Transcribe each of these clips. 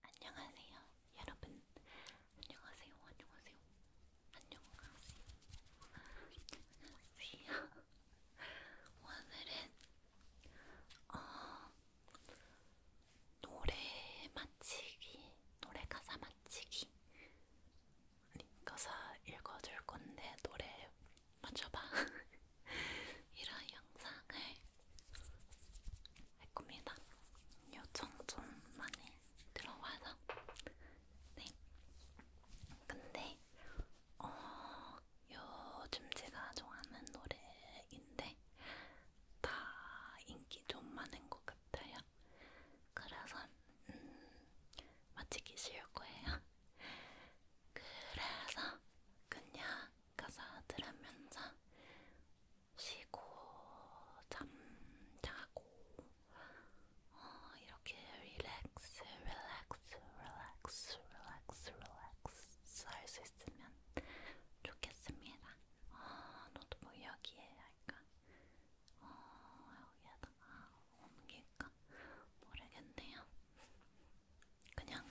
안녕하세요, 여러분. 안녕하세요, 안녕하세요. 안녕하세요. 안녕하세요. 오늘은 어, 노래 맞히기, 노래 가사 맞히기. 가사 읽어줄 건데 노래 맞춰봐. 이런 영상을 할 겁니다. 요청 좀 많이 들어와서 네. 근데 어, 요즘 제가 좋아하는 노래인데 다 인기 좀 많은 것 같아요. 그래서 음, 마치기 쉬울 거예요. 그래서 그냥 가사 들으면서 쉬고 잠자고 어, 이렇게 릴렉스 릴렉스 릴렉스 릴렉스 릴렉스 할 수 있으면 좋겠습니다. 아, 어, 노트북 뭐 여기에 할까? 어, 여기에다가 옮길까? 모르겠네요. 그냥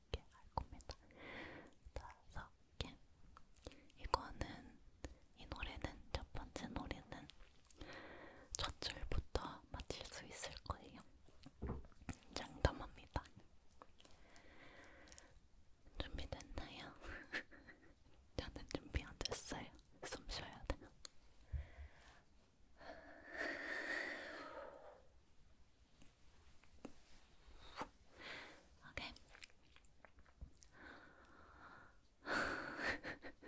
개할 겁니다. 다섯 개. 이거는 이 노래는 첫 번째 노래는 첫 줄부터 맞힐 수 있을 거예요. 장담합니다. 준비됐나요? 저는 준비 안 됐어요. 숨 쉬어야 돼요. 오케이.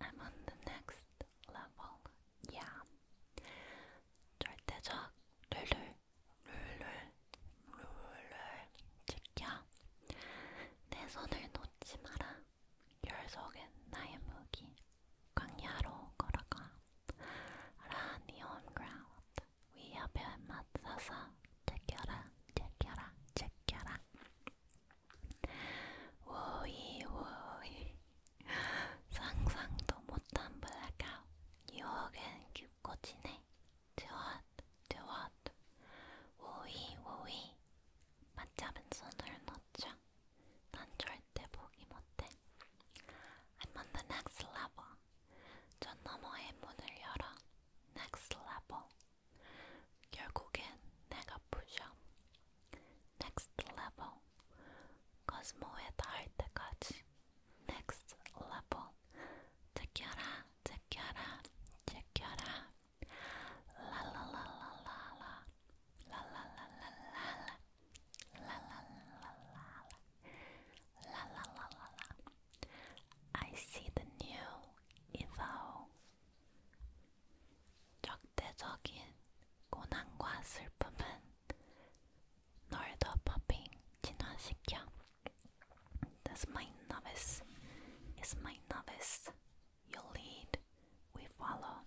I'm on the next level. Yeah. 절대적 룰룰 룰룰 룰룰 지켜. 내 손을 놓지 마라. 결속엔 나의 무기. 광야로 걸어가 Run your ground 위협에 맞서서 제껴라 제껴라 제껴라 오이 오이 상상도 못한 블랙아웃 유혹엔 깊고 지네 드왓 드왓 오이 오이 맞잡은 손을 놓자 난 절대 포기 못해. I'm on the next level. 전 너머의 문을 열어. Next level. 결국엔 내가 부셔. Next level. 코스모에 닿을 때까지. Next level. 제껴라, 제껴라, 제껴라. 랄랄랄랄라. 랄랄랄랄라. La la la la la la la la la. I see the new Evo. 적대적인 고난과 슬픔은 널더 퍼핑 진화시켜. That's my novice. Is my novice. You lead, we follow.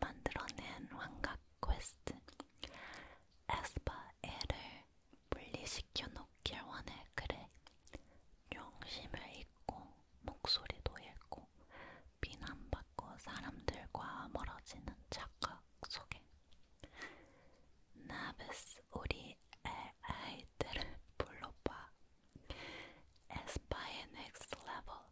만들어낸 환각 퀘스트 에스파엘을 분리시켜 놓길 원해 그래 용심을 잃고 목소리도 잃고 비난받고 사람들과 멀어지는 착각 속에 나베스 우리 아이들을 불러봐 에스파의 넥스트 레벨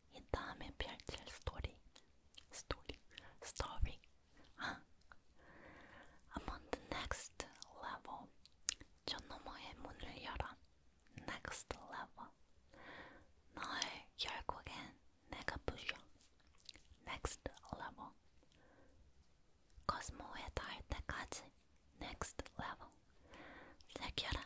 이 다음에 펼칠 스토리 스토리 스토리 아 I'm on the next level 저 너머의 문을 열어 next level 널 결국엔 내가 부셔 next level 코스모에 닿을 때까지 next level 새겨라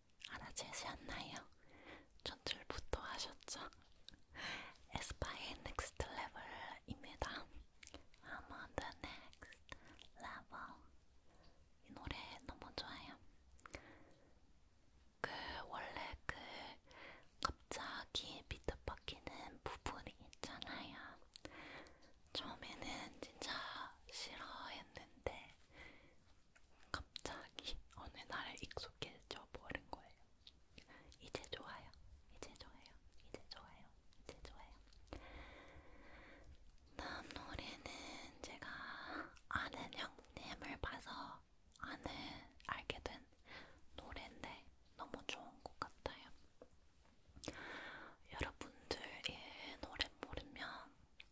하나 제시했나요? 전출부터 하셨죠? 에스파의 넥스트 레벨입니다. 아마 the next level 이 노래 너무 좋아요. 그 원래 그 갑자기 비트 바뀌는 부분이 있잖아요. 처음에는 진짜 싫어했는데 갑자기 어느 날에 익숙해져 버린 거예요. 이제 좋아요. 이제 좋아요. 이제 좋아요. 이제 좋아요. 다음 노래는 제가 아는 형님을 봐서 아는 알게 된 노래인데 너무 좋은 것 같아요. 여러분들 이 노래 모르면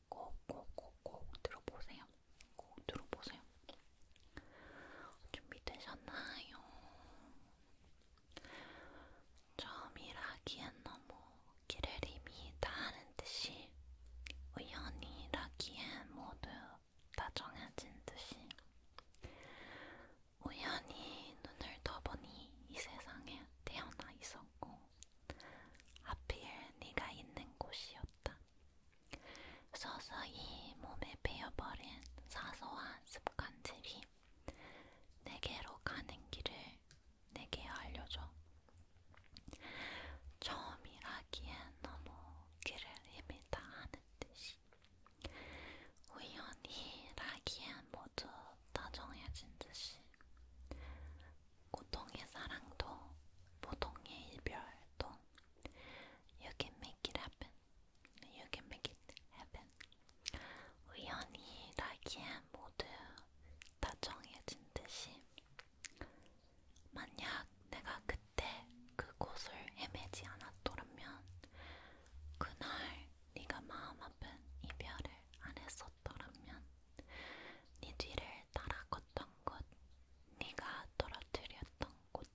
꼭꼭꼭꼭 들어보세요. 꼭 들어보세요. 준비되셨나요? 처음이라기엔 너무 길을 이미 다하는 듯이 우연이라기엔 모두 다 정해진 듯이 우연히 눈을 떠보니 이 세상에 태어나 있었고 하필 네가 있는 곳이었다. 서서히 몸에 배어버린 사소한 습관들이 내게로 가는 길을 내게 알려줘. 처음이라기엔 너무 길을 헤매다 하는 듯이 우연히라기엔 모두 다정해진 듯이 고통의 사랑도 보통의 이별도 You can make it happen. You can make it happen. 우연이라기엔 모두 다 정해진 듯이 만약 내가 그때 그곳을 헤매지 않았더라면 그날 네가 마음 아픈 이별을 안 했었 걸었더라면 네 뒤를 따라 걷던 곳, 네가 떨어뜨렸던 곳,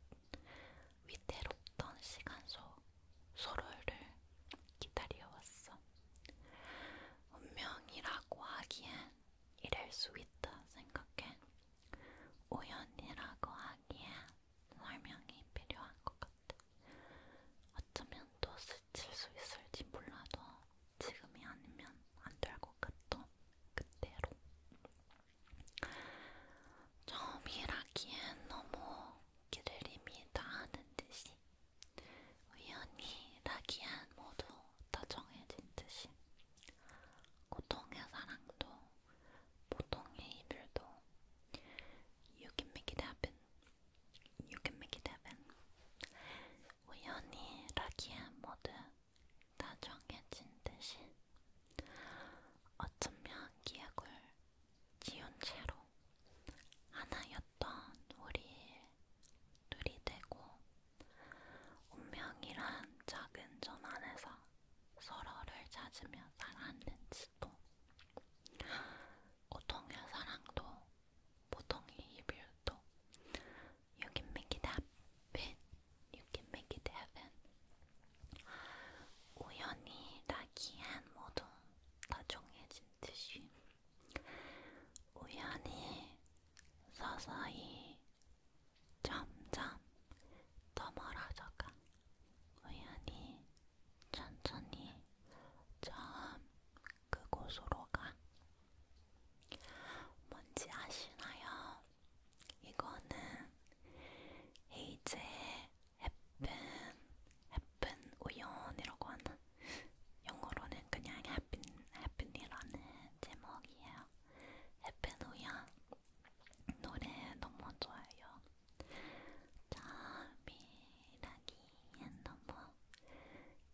위태롭던 시간소 서로를 기다려왔어. 운명이라고 하기엔 이럴 수 있다 생각해. 우연이라고 하기엔 설명이 필요한 것 같아. 어쩌면 또 스칠 수 있을지 몰라도 지금이 아니면 안될것 같던 그때로 처음 일하기엔 너무 길을 이미 다하는 듯이 우연히 라기엔 모두 다 정해진 듯이 고통의 사랑도 보통의 이별도 You can make it happen You can make it happen 우연이라기엔 모두 다 정해진 듯이 어쩌면 기억을 지운 채로 하나였던 우리 둘이 되고 운명이란 작은 점 안에서 서로를 찾으며 살았는지도 고통의 사랑도 보통의 리뷰도 You can make it happen. You can make it happen. 우연히 라기한 모두 다 정해진 듯이 우연히 서서히 점점 더 멀어져가 우연히 천천히 점 그곳으로 가. 뭔지 아시나요? 이거는 헤이즈의 happen, happen 우연이라고 하는 영어로는 그냥 happen, happen이라는 제목이에요. happen 우연 노래 너무 좋아요. 자, 미라기 너무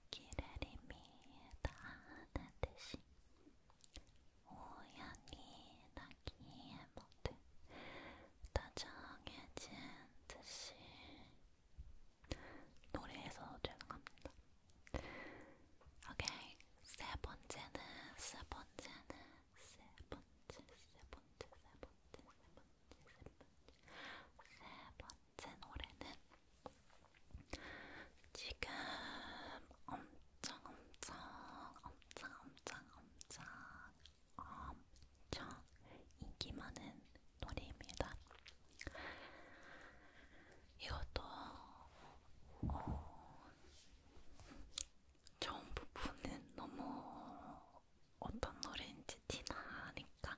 기다림이다 하는 듯이 우연히 나기에 모두 다 정해진 듯이 노래에서 죄송합니다. 오케이 세 번째는 세 번째는 세 번째 세 번째 세 번째 세 번째 세 번째 세 번째 제 노래는 지금 엄청 엄청 엄청 엄청 엄청 엄청 인기 많은 노래입니다. 이것도 어, 좋은 부분은 너무 어떤 노래인지 티나니까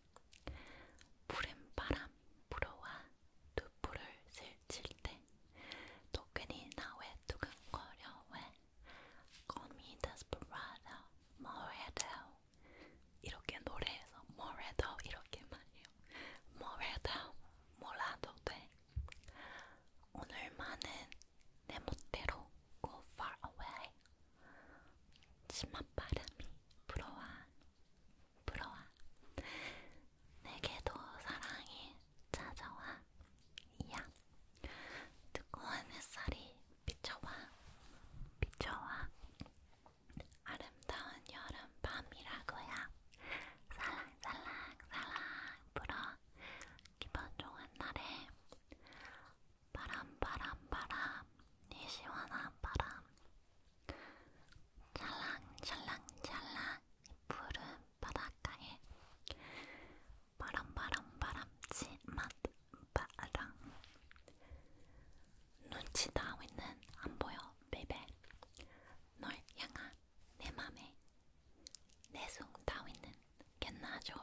푸른 바람 불어와 두풀을 슬칠 때또 괜히 나왜 두근거려 왜 Call me desperado, Moredo 이렇게 노래해서 Moredo 이렇게 말해요 Moredo, 몰라도 돼 오늘만은 내 멋대로 Go far away 심한 바람이 불어와 불어와 내게도 사랑이 찾아와 야 뜨거운 햇살이 비춰와 비춰와 아름다운 여름 밤이라고야 살랑살랑살랑 불어 기분 좋은 날에 바람 바람 바람 이 시원한 바람 찰랑찰랑찰랑 푸른 바닷가에 바람 바람 바람치 맛 바람 눈치 따위는 안 보여 베베 널 향한 내 맘에 내숭 따위는 겟나 좋을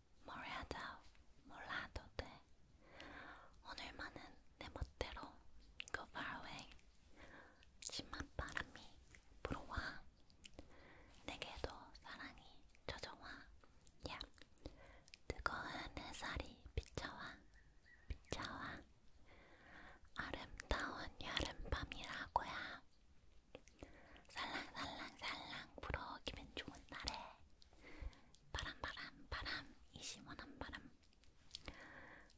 뭘 하자 몰라도 돼 오늘만은 내 멋대로 Go far away 심한 바람이 불어와 내게도 사랑이 젖어와 야 뜨거운 햇살이 비쳐와 비쳐와 아름다운 여름밤이라고야 살랑살랑살랑 불어 기분 좋은 날에 바람 바람 바람 이 시원한 바람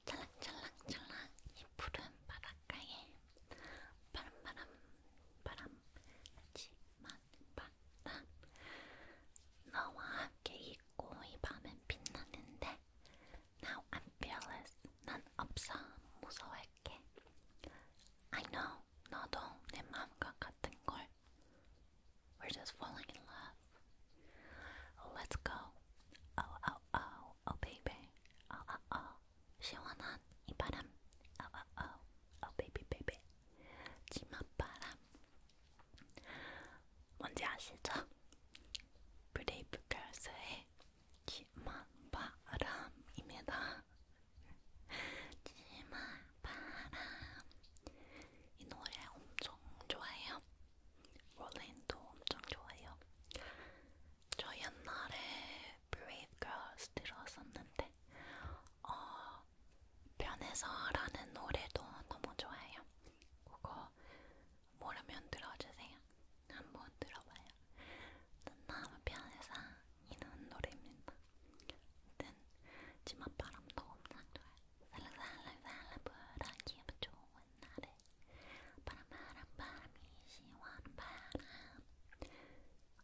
찰랑찰랑찰랑 이 푸른 바닷가에 바람 바람 바람 하지만 바람 너와 함께 있고 이 밤엔 빛나는데 Now I'm fearless 난 없어 무서워할게 I know 너도 내 마음과 같은걸 We're just falling in love. Let's go. Oh, oh, oh, oh, baby. Oh, oh, oh. 시원한 이 바람. Oh, oh, oh, oh, baby, baby. 치맛바람. 뭔지 아시죠? 브레이브걸스의 치맛바람입니다. 바람 이 노래 엄청 좋아해요. 롤린도 엄청 좋아해요. 저 옛날에 Brave Girls 들었었는데 어, 변해서라는 노래도 너무 좋아해요. 그거 모르면 들어주세요. 한번 들어봐요. 난 너무 변해서 이런 노래입니다. 아무튼 치맛바람도 엄청 좋아요. 살랑살랑살랑 불어 기분 좋은 날에 바람바람 바람이 시원한 바람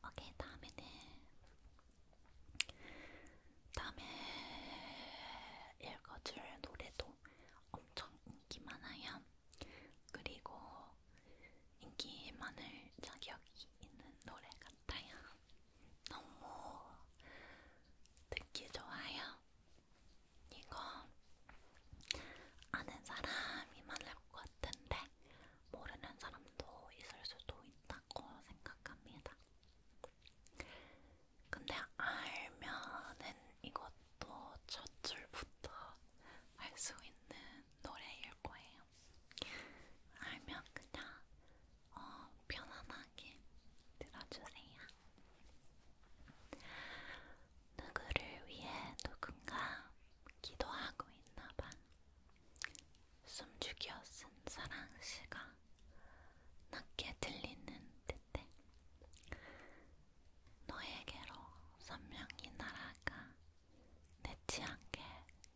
오케이 다음에는 다음에 읽어줄 노래도 엄청 인기 많아요. 그리고 인기 많을 자격이 있는 노래 같아요. 너무 듣기 좋아요. 이거 아는 사람이 많을 것 같은데 모르는 사람도 있을 수도 있다고 생각합니다. 근데 알면은 이것도 첫 줄부터 알 수 있는 노래일 거예요. 알면 그냥 어, 편안하게 들어주세요. 누구를 위해 누군가 기도하고 있나봐. 숨죽여 쓴 사랑시가 낮게 들리는 듯해. 너에게로 선명히 날아가 내치한게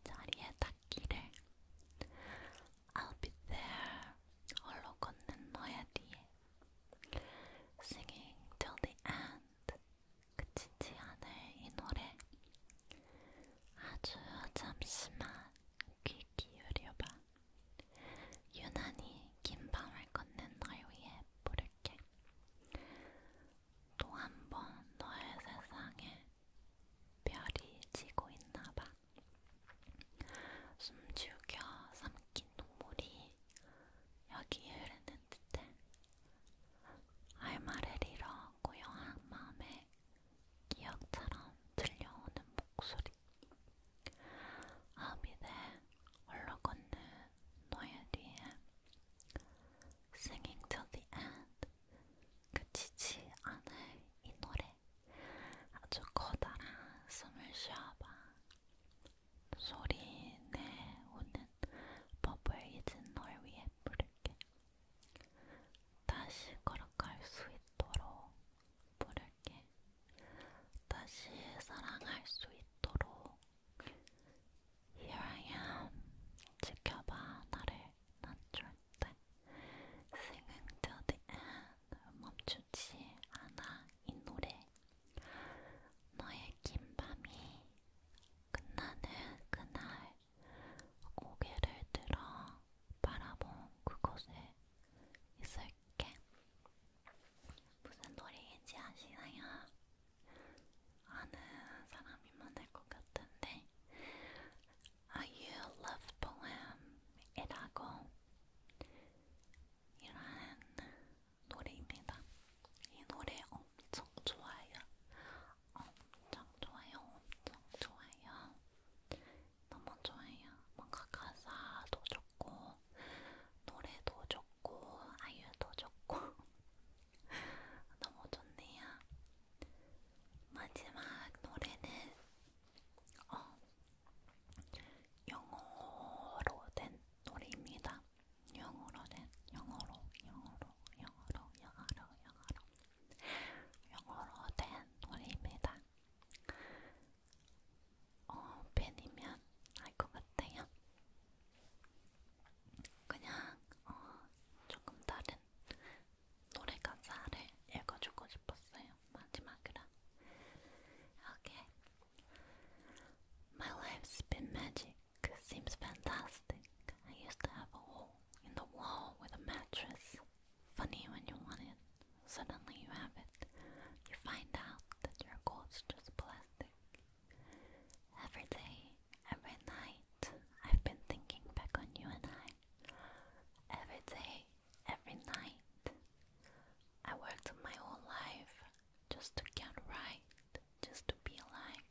자리에 닿기를 I'll be there 홀로 걷는 너의 뒤에 Singing till the end 그치지 않을 이 노래 아주 잠시만 귀 기울여봐 유난히 긴 밤을 걷는 널 위해 부를게 또 한 번 너의 세상에 별이 지고 있나봐. 숨죽여 삼킨 눈물이 여기 흐르는 듯해. 알마를 잃어 고요한 마음에 기억처럼 들려오는 목소리. 아비대 올라 걷는 너의 뒤에 Singing till the end 그치지 않을 이 노래 아주 커다란 숨을 쉬어봐 소리 내오는 버블 이젠 널 위해 부를게 다시 걸어갈 수 있도록 부를게 다시 사랑할 수 있도록 Here I am 지켜봐 나를 난 절대 Singing to the end 멈추지 않아 이 노래 너의 긴 밤이 끝나는 그날 고개를 들어 바라본 그곳에 있을게 무슨 노래인지 아시나요? 아는 사람이 많을 것 같은데 아유 love poem이라고 이러한 노래입니다. 이 노래 엄청 좋아요. 엄청 좋아요. 엄청 좋아요. 너무 좋아요. 뭔가 가사도 좋고 노래도 좋고 아이유도 좋고 너무 좋네요. 마지막 노래는 어, 영어로 된 노래입니다. 영어로 된 영어로 영어로 영어로 영어로 영어로 영어로 된 노래입니다. 어, 팬이면 알것 같아요. 그냥 어, 조금 다른 노래 가사를 읽어주고 싶었어요. 마지막으로. Okay. My life's been magic. Seems fantastic. I used to have a hole in the wall with a mattress. Funny when you want it, suddenly you have it. You find out that your goal's just plastic. Every day every night I've been thinking back on you and I. Every day, every night. I worked my whole life just to get right, just to be alive.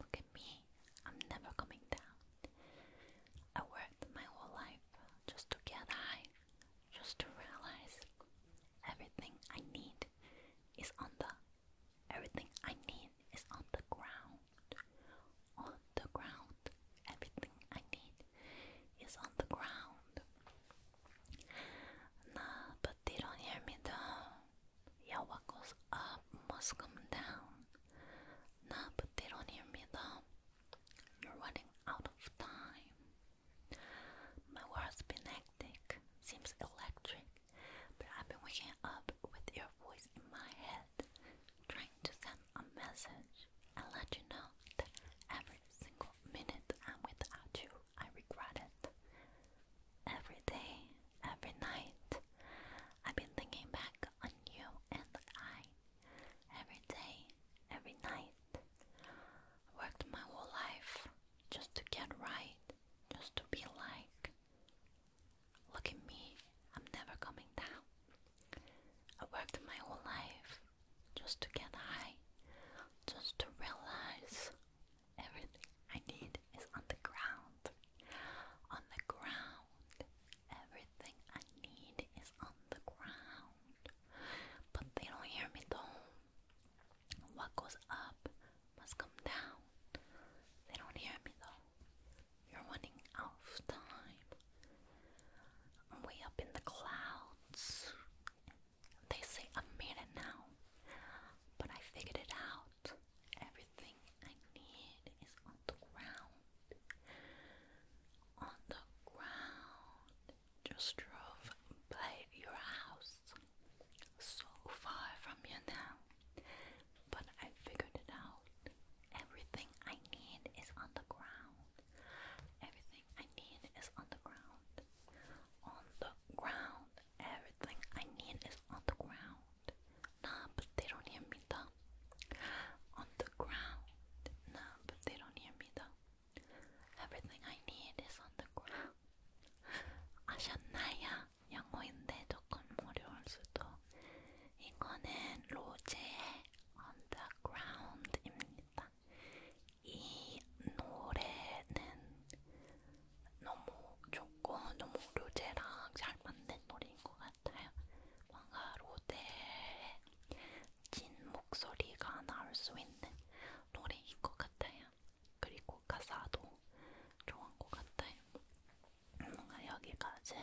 Look at me, I'm never coming down. I worked my whole life just to get high, just to realize everything I need is on the Everything I need is on the ground. On the ground. Everything I need is on the ground. Nah, but they don't hear me though. Yeah, what goes up must come down. Nah, but they don't hear me though. You're running out of time. My world's been seems electric, but I've been waking up with your voice in my head, trying to send a message and let you know that every single minute I'm without you, I regret it. Every day, every night, I've been thinking back on you and I. Every day, every night, I worked my whole life just to get right, just to be like, Look at me, I'm never coming down. I worked my whole life just to get high, just to realize everything I need is on the ground. On the ground, everything I need is on the ground. But they don't hear me though. What goes up must come down. They don't hear me though. You're running out of time. Way up in the clouds. They say I made it now, but I figured it out. Everything I need is on the ground. On the ground. Just drove by your house. So far from you now but I figured it out. Everything I need is on the ground. Everything I need is on the ground. On the ground. Everything I need is on the ground. Nah, but they don't hear me though. On the ground. Nah, but they don't hear me though. Everything I need is on the ground. 아셨나요? 영어인데 조금 어려울 수도. 이거는 로제의 언더그라운드입니다. 이 노래는 너무 좋고 너무 로제랑 잘 맞는 노래인 것 같아요. 뭔가 로제의 진 목소리가 나올 수 있는 노래인 것 같아요. 그리고 가사도 좋은 것 같아요. 뭔가 여기까지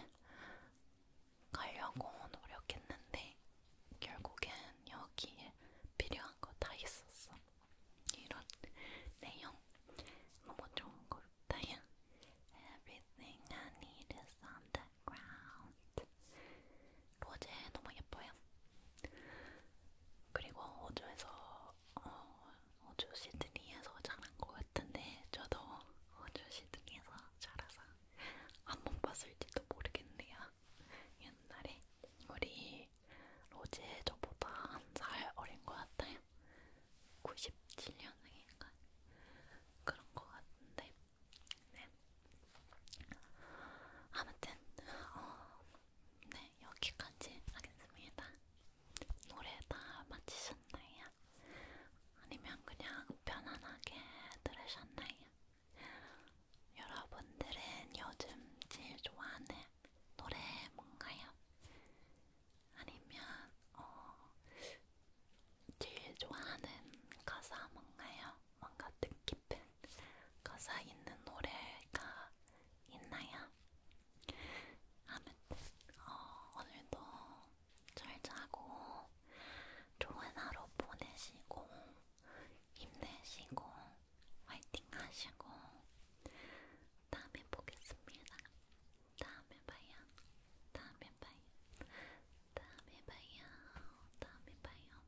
가려고 노력했는데 결국엔 여기에 필요한 거 다 있었어. 이런 내용 너무 좋은 것 같아요. Everything I need is on the ground. 로제 너무 예뻐요. 그리고 호주에서 어, 호주 시드니에서 자란 것 같은데 저도 호주 시드니에서 자라서 한번 봤을지도 모르겠네요. 옛날에 우리 로제 저보다 한 살 어린 것 같아요. 97년생인가 그런 것 같은데 네. 아무튼 어, 네 여기까지 하겠습니다. 노래 다 마치셨 들으셨나요? 아니면 그냥 편안하게 들으셨나요? 여러분들은 요즘 제일 좋아하는 노래 뭔가요? 아니면 어, 제일 좋아하는 가사 뭔가요? 뭔가 뜻깊은 가사 있는 노래가 있나요? 아무튼 어, 오늘도 잘 자고 좋은 하루 보내시고 힘내시고 화이팅 하시고 다음에 보겠습니다. 다음에 봐요. 다음에 봐요. 다음에 봐요. 다음에 봐요.